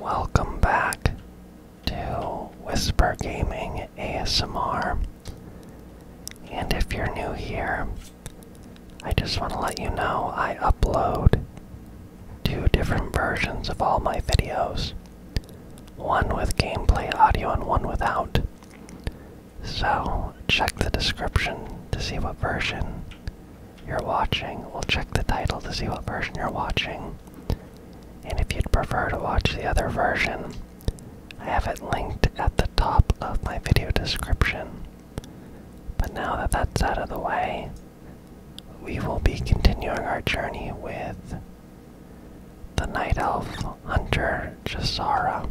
Welcome back to Whisper Gaming ASMR. And if you're new here, I just want to let you know I upload two different versions of all my videos one with gameplay audio and one without. So check the description to see what version you're watching. We'll check the title to see what version you're watching. And if you'd prefer to watch the other version, I have it linked at the top of my video description. But now that that's out of the way, we will be continuing our journey with the Night Elf Hunter Jasara.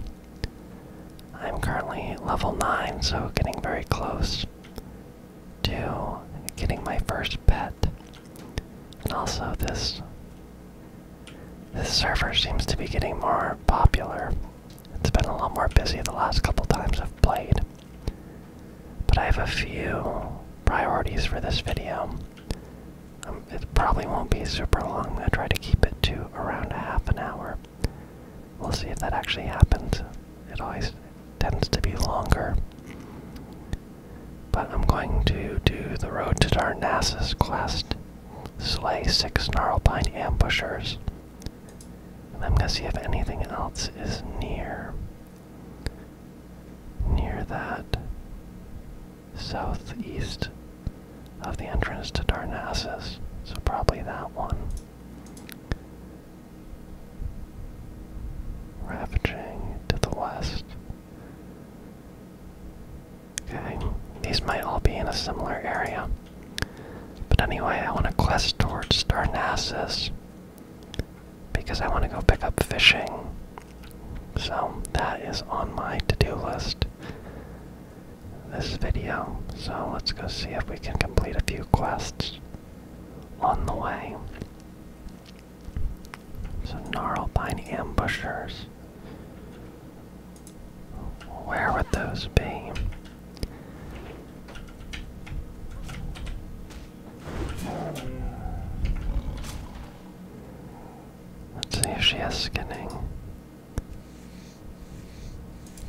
I'm currently level 9, so getting very close to getting my first pet. And also this this server seems to be getting more popular. It's been a lot more busy the last couple times I've played. But I have a few priorities for this video. Um, it probably won't be super long. I'm going to try to keep it to around a half an hour. We'll see if that actually happens. It always tends to be longer. But I'm going to do the Road to Darnassus quest. Slay six Snarlpine ambushers. And I'm gonna see if anything else is near. Near that southeast of the entrance to Darnassus. So probably that one. Ravaging to the west. Okay, these might all be in a similar area. But anyway, I want to quest towards Darnassus because I want to go pick up fishing. So that is on my to-do list this video. So let's go see if we can complete a few quests on the way. So gnarlbine ambushers. Where would those be? Let's see if she has skinning.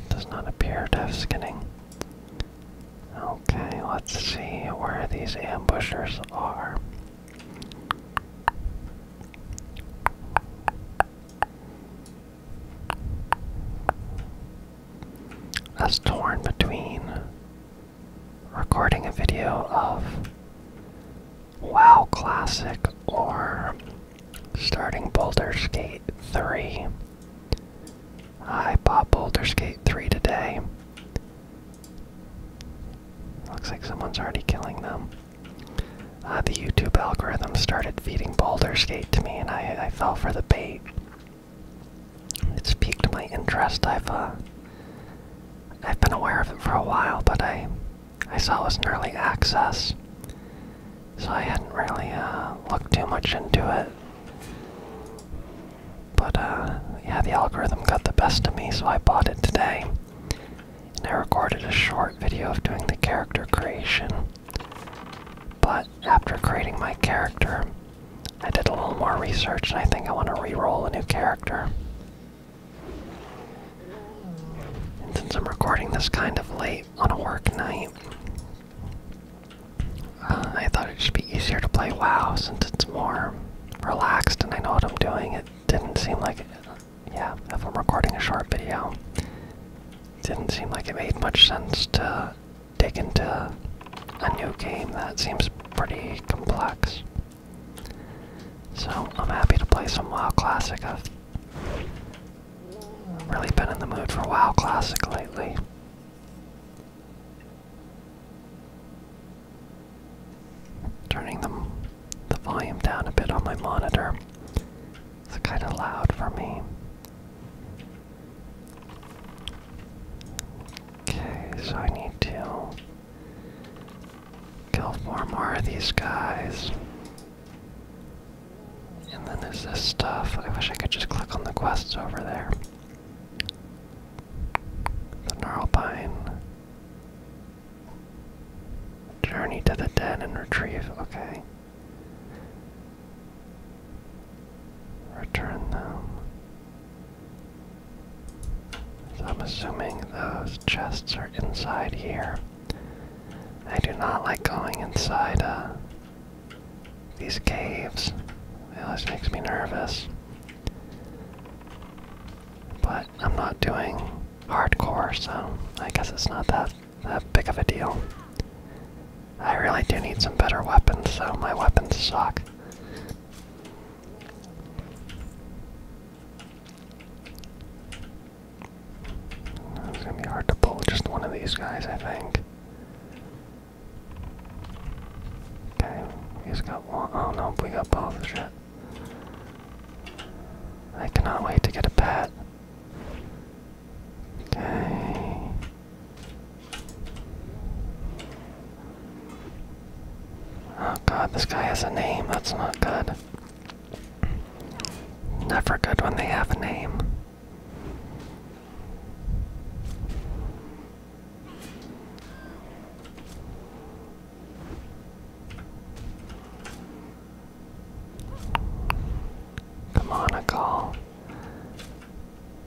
Does not appear to have skinning. Okay, let's see where these ambushers are. That's torn between recording a video of WoW Classic or starting Boulder Gate 3. I bought Boulder Skate 3 today. Looks like someone's already killing them. Uh, the YouTube algorithm started feeding Boulder Skate to me, and I, fell for the bait. It's piqued my interest. I've uh, I've been aware of it for a while, but I I saw it was in early access, so I hadn't really uh, looked too much into it. But uh, yeah, the algorithm got the best of me, so I bought it today. And I recorded a short video of doing the character creation. But after creating my character, I did a little more research and I think I want to re-roll a new character. since I'm recording this kind of late on a work night, I thought it should be easier to play WoW since it's more relaxed and I know what I'm doing. It didn't seem like, yeah, if I'm recording a short video, didn't seem like it made much sense to dig into a new game that seems pretty complex. So I'm happy to play some WoW Classic. I've really been in the mood for WoW Classic lately. Turning them, the volume down a bit on my monitor. It's kind of loud for me. Okay, so I need to kill four more of these guys. And then there's this stuff. I wish I could just click on the quests over there. The Gnarlbine. Journey to the den and retrieve. Okay. Return them. So I'm assuming those chests are inside here. I do not like going inside uh, these caves. It always makes me nervous. But I'm not doing hardcore, so I guess it's not that that big of a deal. I really do need some better weapons, so my weapons suck. It's gonna be hard to pull just one of these guys, I think. Okay, we just got one. I oh, don't know if we got both. Shit. I cannot wait to get a pet. Okay. Oh god, this guy has a name. That's not good. Never good when they have a name. Come on, a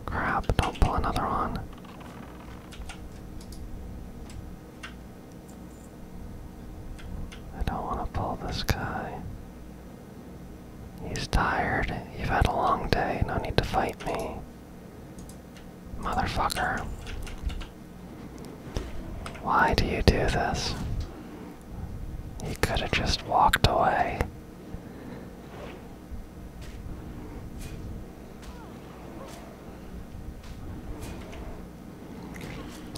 Crap, don't pull another one. I don't want to pull this guy. He's tired. You've had a long day. No need to fight me. Motherfucker. Why do you do this? He could have just walked away.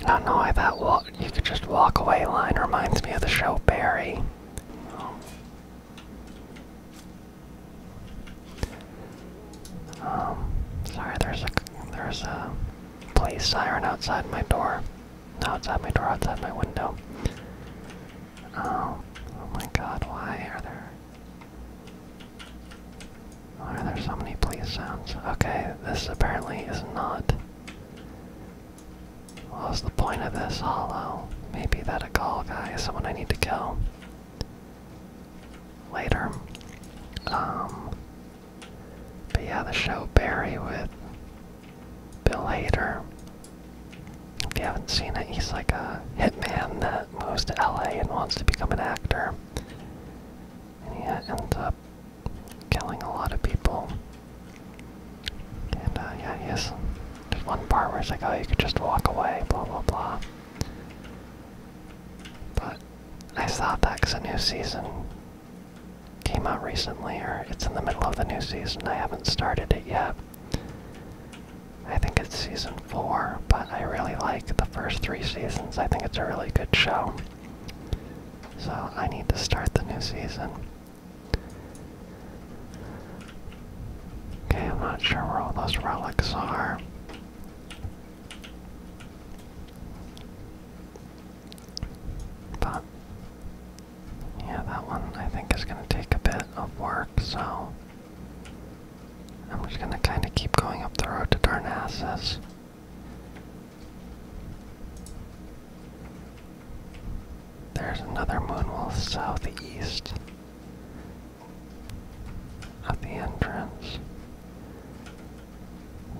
I know that walk you could just walk away line reminds me of the show Barry. Um, sorry, there's a there's a police siren outside my door. outside my door, outside my window. Um, oh, my God! Why are there? Why are there so many police sounds? Okay, this apparently is not. What's the point of this hollow? Maybe that a call guy is someone I need to kill later. Um, but yeah, the show Barry with Bill Hader. If you haven't seen it, he's like a hitman that moves to LA and wants to become an actor. And he ends up killing a lot of people. And uh, yeah, he there's one part where it's like, oh, you could just walk away, blah, blah, blah. But I thought that because a new season came out recently, or it's in the middle of the new season. I haven't started it yet. I think it's season four, but I really like the first three seasons. I think it's a really good show. So I need to start the new season. Okay, I'm not sure where all those relics are. But yeah, that one I think is gonna take a bit of work, so I'm just gonna kinda keep going up the road to Darnassus. There's another moonwolf southeast at the entrance.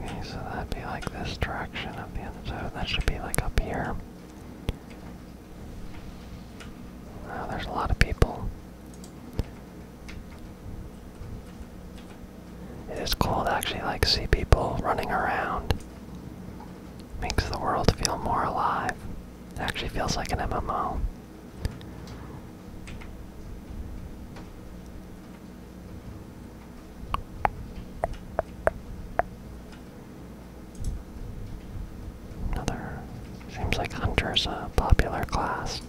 Okay, so that'd be like this direction of the end. that should be like up here. Wow, there's a lot of people. It is cool to actually like see people running around. Makes the world feel more alive. It actually feels like an MMO. Another. Seems like Hunter's a popular class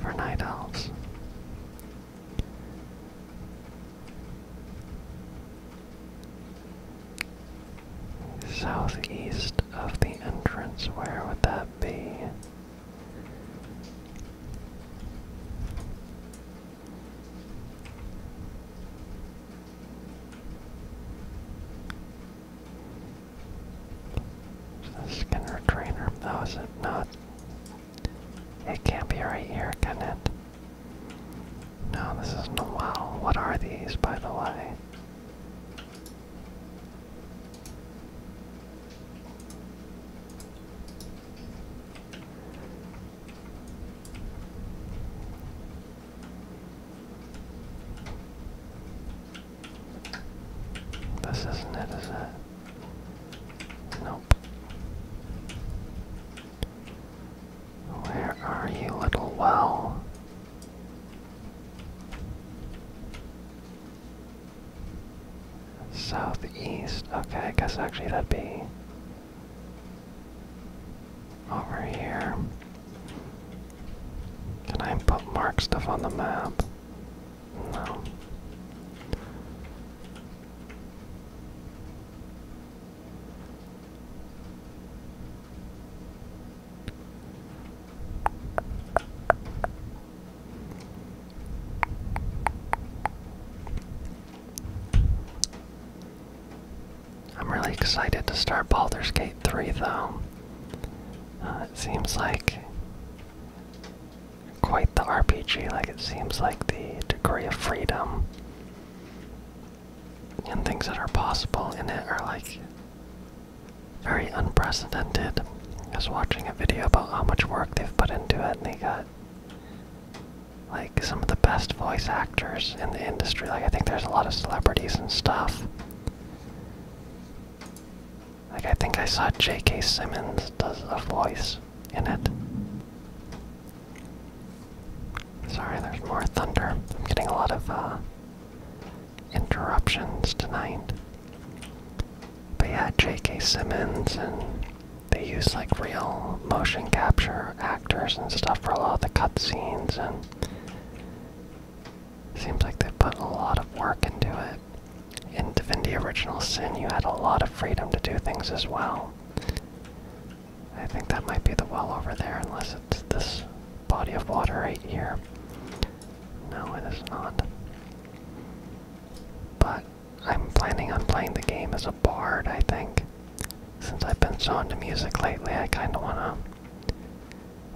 for Night Elves. Southeast of the entrance, where would that be? Skinner Trainer? No, oh, it not? It can't be right here, can it? No, this isn't a wow. What are these, by the way? This isn't it, is it? Nope. Where are you, little well? Southeast. Okay, I guess actually that'd be over here. Can I put mark stuff on the map? No. I'm really excited to start Baldur's Gate 3 though. Uh, it seems like quite the RPG, like it seems like the degree of freedom and things that are possible in it are like very unprecedented. I watching a video about how much work they've put into it, and they got like some of the best voice actors in the industry. Like, I think there's a lot of celebrities and stuff. Like, I think I saw J.K. Simmons does a voice in it. Sorry, there's more thunder. I'm getting a lot of uh, interruptions tonight. But yeah, J.K. Simmons, and they use like real motion capture actors and stuff for a lot of the cutscenes, and seems like they put a lot of work into it. In Divinity Original Sin, you had a lot of freedom to do things as well. I think that might be the well over there, unless it's this body of water right here. No, it is not. But I'm planning on playing the game as a bard, I think. Since I've been so into music lately, I kinda wanna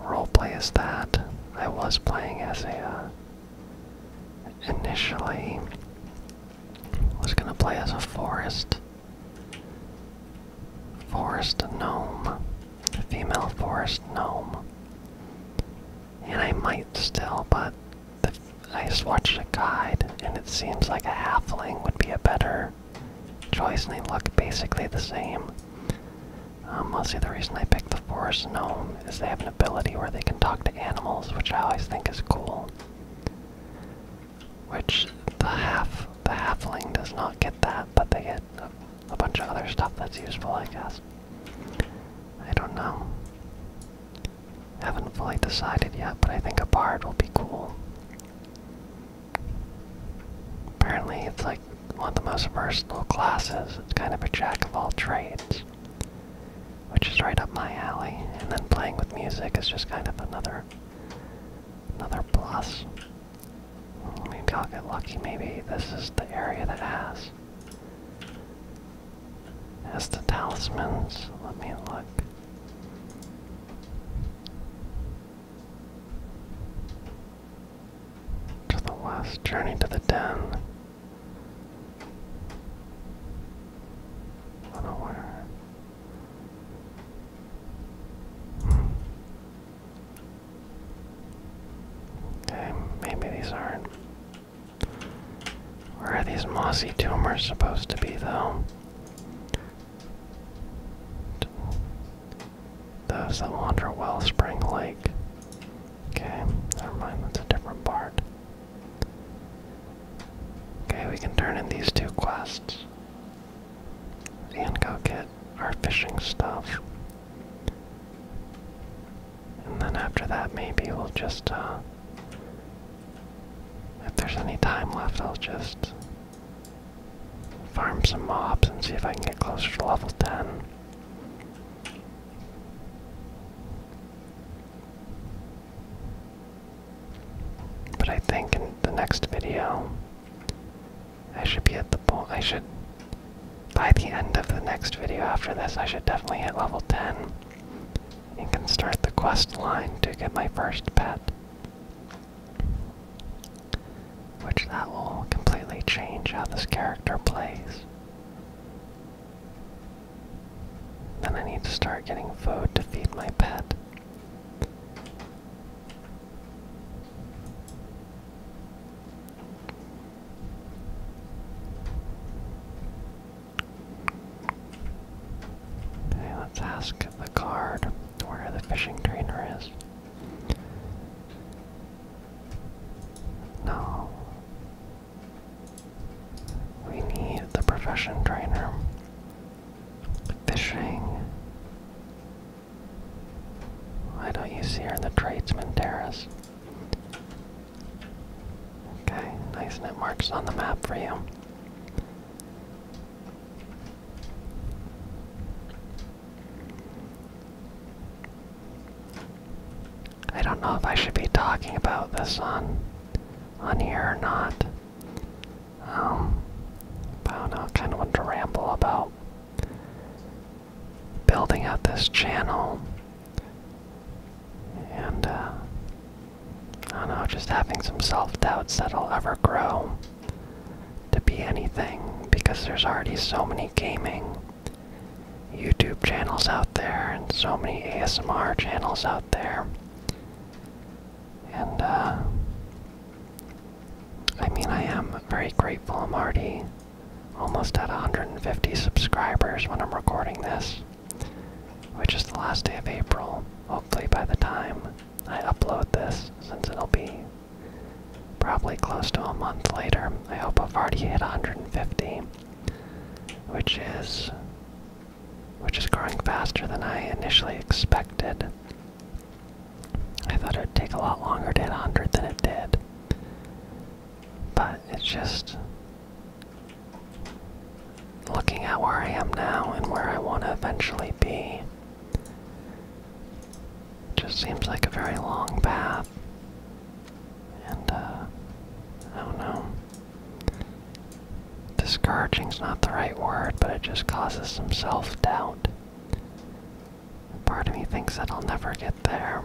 roleplay as that. I was playing as a, uh, initially was gonna play as a forest Forest gnome. female forest gnome. And I might still, but I just watched a guide, and it seems like a halfling would be a better choice, they look basically the same. mostly um, the reason I picked the forest gnome is they have an ability where they can talk to animals, which I always think is cool. Which the half the halfling does not get that, but they get a bunch of other stuff that's useful, I guess. I don't know. Haven't fully decided yet, but I think a bard will be cool. Apparently, it's like one of the most versatile classes. It's kind of a jack of all trades, which is right up my alley. And then playing with music is just kind of another, another plus. Maybe I'll get lucky. Maybe this is the area that has. Has the talismans. Let me look. To the west. Journey to the den. Unaware. Okay, maybe these aren't. Where are these mossy tumors supposed to be, though? Those that wander Wellspring Lake. Okay, never mind, that's a different part. Okay, we can turn in these two quests. The Inco kit our fishing stuff. And then after that, maybe we'll just, uh, if there's any time left, I'll just farm some mobs and see if I can get closer to level 10. But I think in the next video, I should be at the point. I should. By the end of the next video after this, I should definitely hit level 10 and can start the quest line to get my first pet. Which that will completely change how this character plays. Then I need to start getting food to feed my pet. Okay, let's ask the card where the fishing trainer is. No. We need the profession trainer. Fishing why don't you see her in the tradesman terrace? Okay, nice net marks on the map for you. I don't know if I should be talking about this on on here or not. Um, I don't know, I kinda want to ramble about building out this channel and uh, I don't know, just having some self-doubts that I'll ever grow to be anything because there's already so many gaming YouTube channels out there and so many ASMR channels out there. And uh, I mean I am very grateful Marty almost at 150 subscribers when I'm recording this, which is the last day of April. Hopefully, by the time I upload this, since it'll be probably close to a month later, I hope I've already hit 150, which is which is growing faster than I initially expected. I thought it would take a lot longer to hit 100 than it did. But it's just looking at where I am now and where I want to eventually be. Just seems like a very long path. And, uh, I don't know. Discouraging's not the right word, but it just causes some self doubt. Part of me thinks that I'll never get there.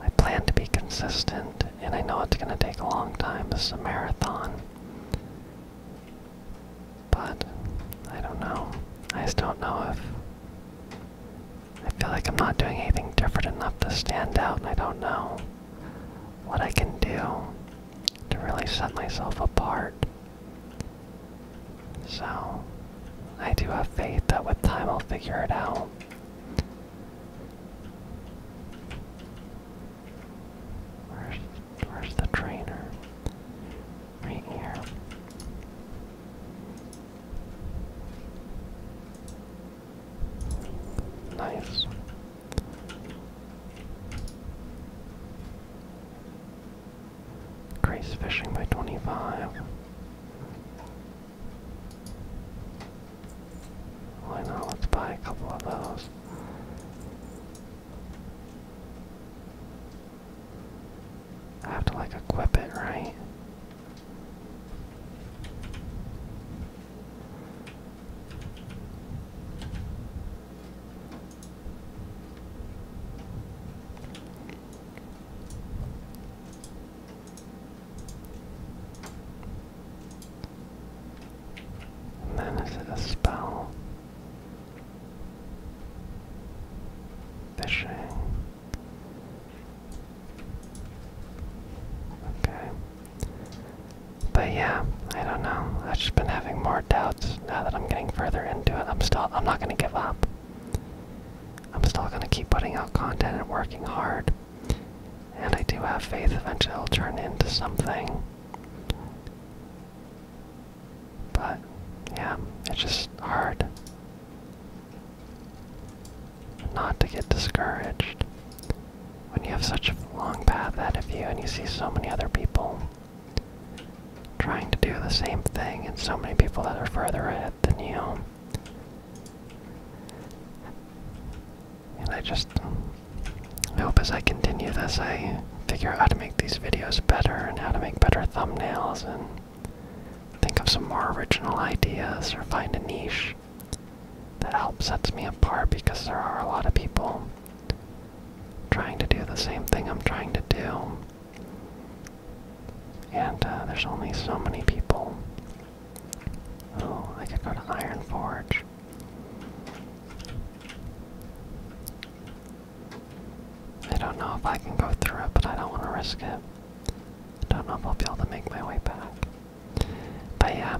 I plan to be consistent, and I know it's going to take a long time. This is a marathon. But I don't know. I just don't know if. I feel like I'm not doing anything different enough to stand out, and I don't know what I can do to really set myself apart. So, I do have faith that with time I'll figure it out. Where's, where's the trainer? Right here. Nice. Grace Fishing by 25. Why not? Let's buy a couple of those. I have to like equip it, right? And is it a spell? Fishing. Okay. But yeah, I don't know. I've just been having more doubts now that I'm getting further into it. I'm still I'm not gonna give up. I'm still going to keep putting out content and working hard. And I do have faith eventually it'll turn into something. But, yeah, it's just hard not to get discouraged when you have such a long path ahead of you and you see so many other people trying to do the same thing and so many people that are further ahead than you. And I just I hope as I continue this, I figure out how to make these videos better and how to make better thumbnails and think of some more original ideas or find a niche that helps sets me apart because there are a lot of people trying to do the same thing I'm trying to do. And uh, there's only so many people. Oh, I could go to Iron Forge. I don't know if I can go through it, but I don't want to risk it. I don't know if I'll be able to make my way back. But yeah,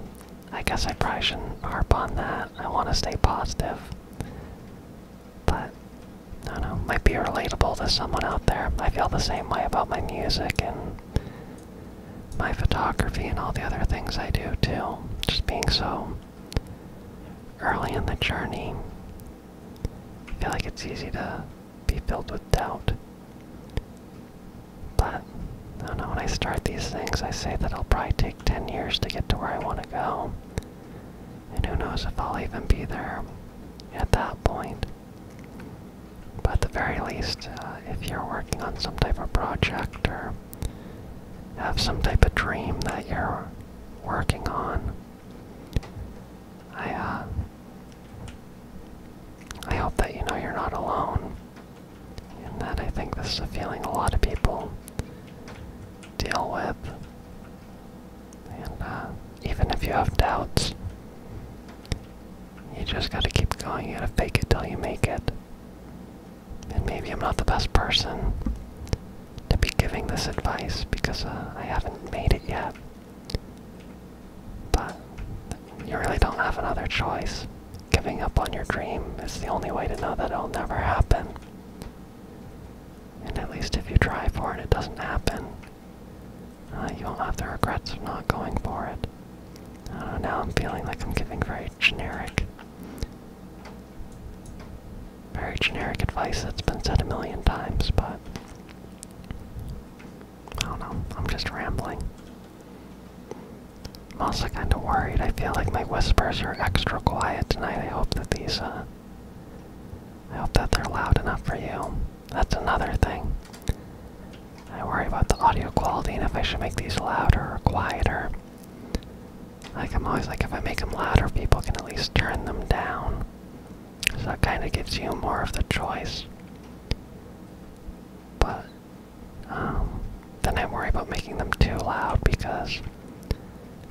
I guess I probably shouldn't harp on that. I want to stay positive. But I don't know might be relatable to someone out there. I feel the same way about my music and my photography and all the other things I do too. Just being so early in the journey, I feel like it's easy to be filled with doubt. But I don't know when I start these things, I say that it'll probably take 10 years to get to where I want to go. And who knows if I'll even be there at that point. But at the very least, uh, if you're working on some type of project or have some type of dream that you're working on, I uh, I hope that you know you're not alone, and that I think this is a feeling a lot of people deal with and uh, even if you have doubts, you just gotta keep going. You gotta fake it till you make it. And maybe I'm not the best person to be giving this advice because uh, I haven't made it yet. But you really don't have another choice. Giving up on your dream is the only way to know that it'll never happen. And at least if you try for it, it doesn't happen. Uh, you won't have the regrets of not going for it. now I'm feeling like I'm giving very generic, very generic advice that's been said a million times, but I don't know. I'm just rambling. I'm also kind of worried. I feel like my whispers are extra quiet tonight. I hope that these, uh, I hope that they're loud enough for you. That's another thing. I worry about the audio quality and if I should make these louder or quieter. Like, I'm always like, if I make them louder, people can at least turn them down. So that kind of gives you more of the choice. But, um, then I worry about making them too loud because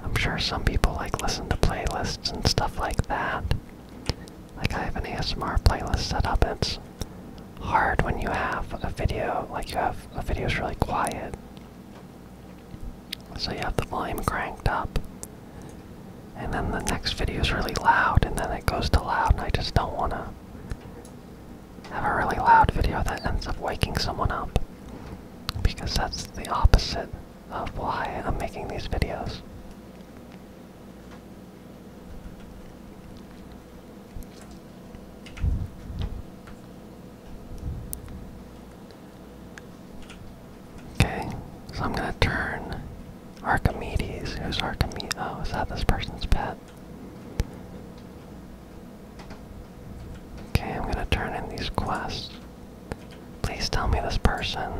I'm sure some people like listen to playlists and stuff like that. Like I have an ASMR playlist set up it's hard when you have a video, like you have a video is really quiet. So you have the volume cranked up. And then the next video is really loud and then it goes to loud and I just don't want to have a really loud video that ends up waking someone up. Because that's the opposite of why I'm making these videos. Okay, so I'm gonna turn Archimedes. Who's Archimedes? Oh, is that this person's pet? Okay, I'm gonna turn in these quests. Please tell me this person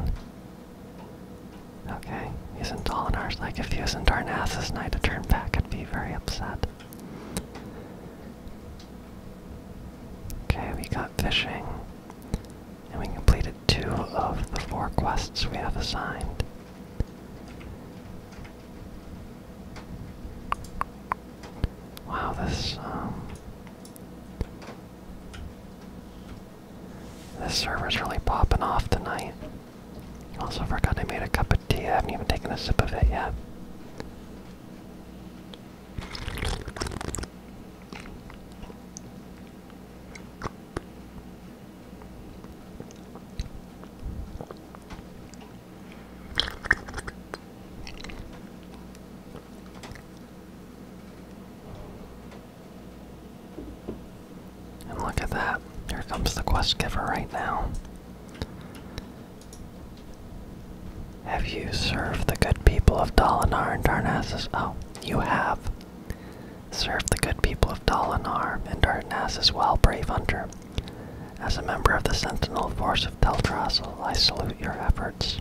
Okay, isn't Dolinar's like if he was in Darnassus and I had to turn back, I'd be very upset. Okay, we got fishing. And we completed two of the four quests we have assigned. Wow, this, um... This server's really popping off tonight. Also forgot I made a cup of tea. I haven't even taken a sip of it yet. And look at that. Here comes the quest giver right now. Have you served the good people of Dalaran and Darnassus? Oh, you have. Served the good people of Dalaran and Darnassus well, brave hunter. As a member of the sentinel force of Teldrassil, I salute your efforts.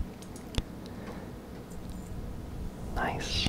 Nice.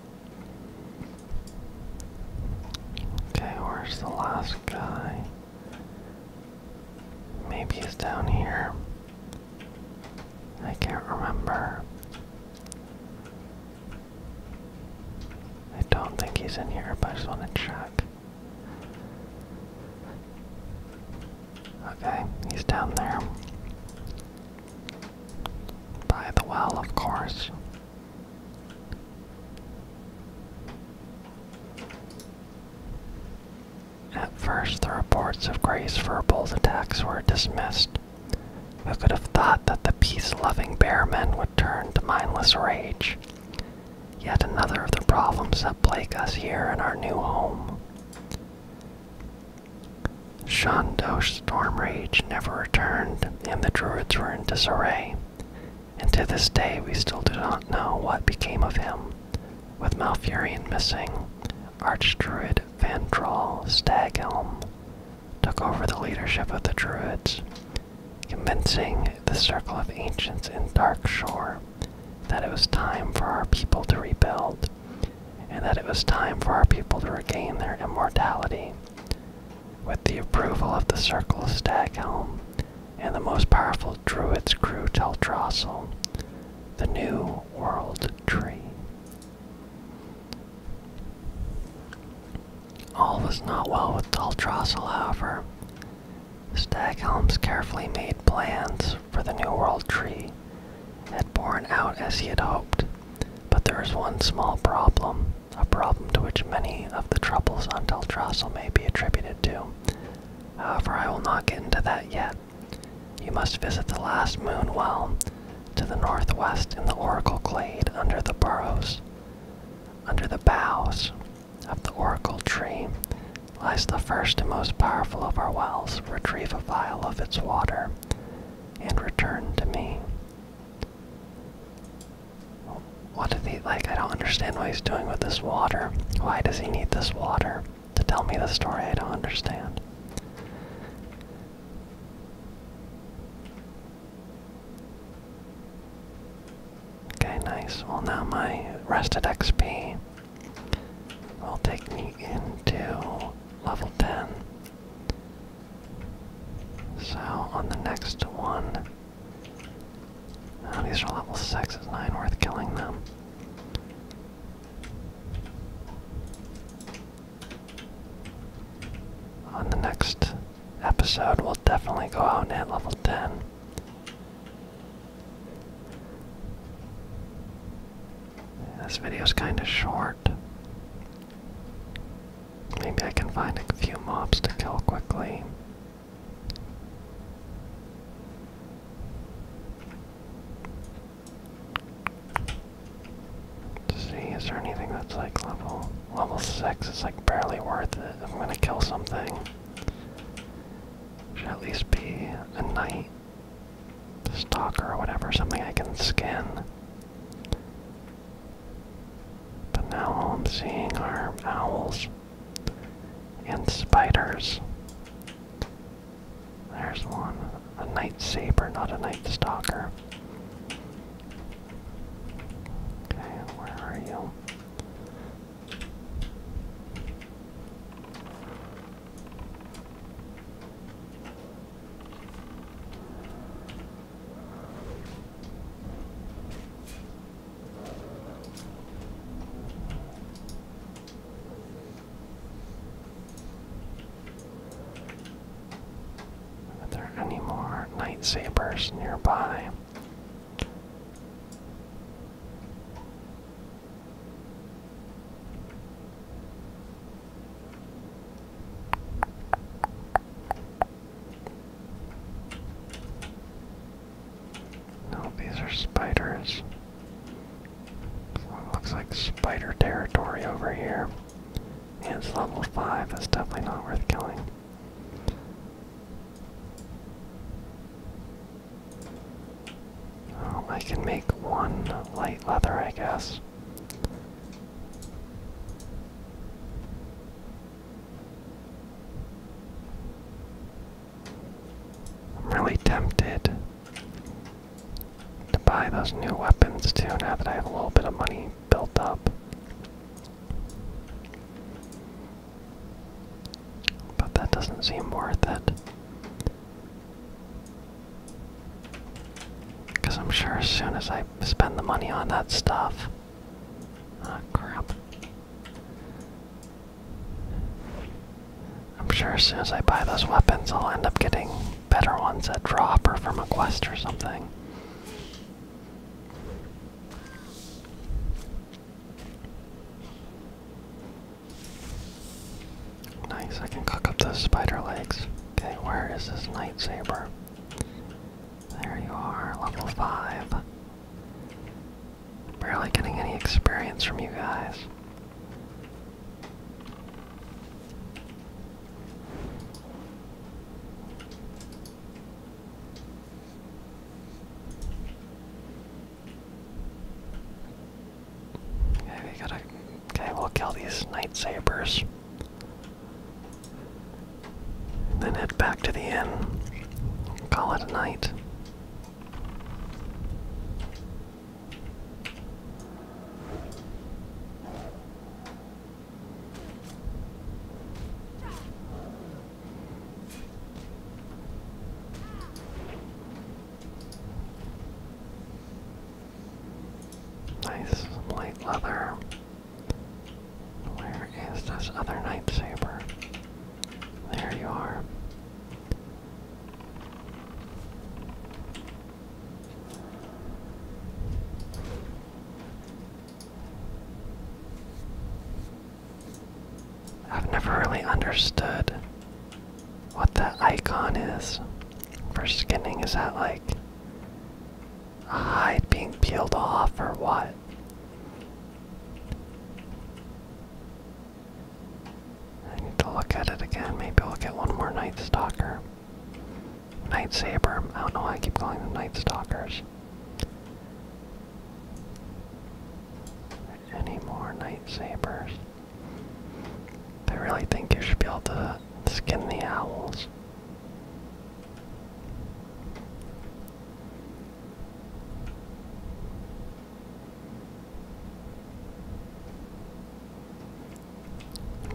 Okay, where's the last guy? Maybe he's down here. I can't remember. I don't think he's in here, but I just want to check. Okay, he's down there. By the well, of course. At first, the reports of Grace Verbal's attacks were dismissed. Who could have thought that the peace loving bear men would turn to mindless rage? Yet another of the problems that plague us here in our new home. Shondo's storm rage never returned and the Druids were in disarray. And to this day, we still do not know what became of him, with Malfurion missing. Archdruid Vantral Staghelm took over the leadership of the Druids, convincing the Circle of Ancients in Darkshore that it was time for our people to rebuild, and that it was time for our people to regain their immortality. With the approval of the Circle of Staghelm and the most powerful druid's crew Teldrassil, the new world tree. All was not well with Teldrassil, however. Staghelm's carefully made plans for the new world tree had borne out as he had hoped, but there was one small problem a problem to which many of the troubles on Teldrassil may be attributed to. However, I will not get into that yet. You must visit the last moon well, to the northwest in the Oracle Glade under the burrows. Under the boughs of the Oracle Tree lies the first and most powerful of our wells. Retrieve a vial of its water and return to me. What he like? I don't understand why he's doing with this water. Why does he need this water? To tell me the story, I don't understand. Okay, nice. Well, now my rested XP will take me into level 10. So on the next one, oh, these are level six. Is nine worth killing them. On the next episode, we'll definitely go out and hit level 10. This video's kind of short. Maybe I can find a few mobs to kill quickly. let see, is there anything that's like level level six It's like barely worth it. I'm gonna kill something. Should at least be a knight. Stalker or whatever, something I can skin. But now all I'm seeing are owls and spiders. There's one. A night saber, not a night stalker. Okay, where are you? Are there any more night nearby? No, these are spiders. looks like spider territory over here. And it's level 5, that's definitely not worth killing. Oh, I can make one light leather, I guess. I'm really tempted to buy those new weapons too now that I have a little bit of money built up. But that doesn't seem worth it. Because I'm sure as soon as I spend the money on that stuff, Ah, crap. I'm sure as soon as I buy those weapons, I'll end up getting better ones at drop or from a quest or something. Nice, I can cook up those spider legs. Okay, where is this night there you are, level 5. Barely getting any experience from you guys. Okay, we gotta. Okay, we'll kill these night sabers. Then head back to the inn. Call it a night. Nice light leather. Where is this other lightsaber? There you are. I've never really understood what the icon is for skinning. Is that like hide being peeled off or what? I need to look at it again. Maybe we'll get one more Night Stalker. Night Saber. I don't know why I keep calling them Night Stalkers. Any more Night Sabers? I really think you should be able to skin the owls.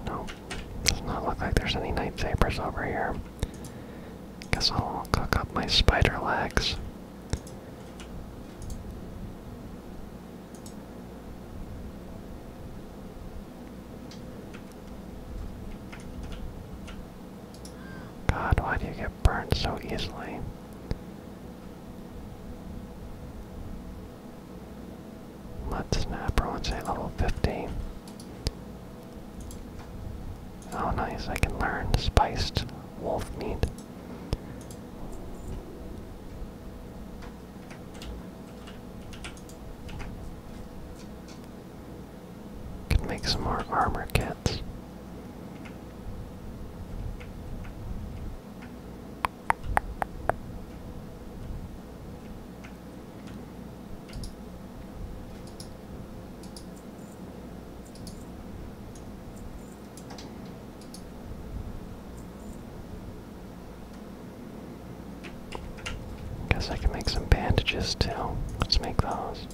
No, does not look like there's any night sabers over here. Guess I'll cook up my spider legs. God, why do you get burned so easily? Mud snapper, let's say level 50. Oh nice, I can learn spiced wolf meat. Can make some more armor kits. Guess I can make some bandages too. Let's make those.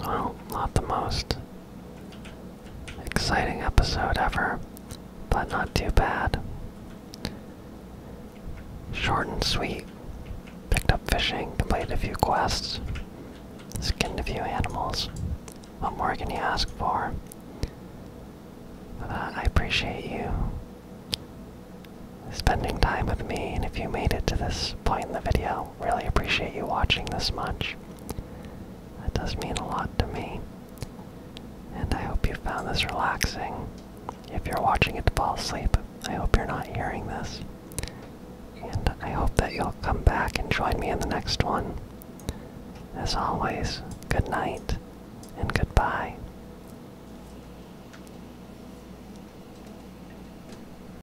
Well, not the most exciting episode ever, but not too bad. Short and sweet. Picked up fishing, completed a few quests, skinned a few animals. What more can you ask for? Uh, I appreciate you spending time with me, and if you made it to this point in the video, really appreciate you watching this much. That does mean a lot to me. And I hope you found this relaxing. If you're watching it to fall asleep, I hope you're not hearing this. And I hope that you'll come back and join me in the next one. As always, good night and goodbye.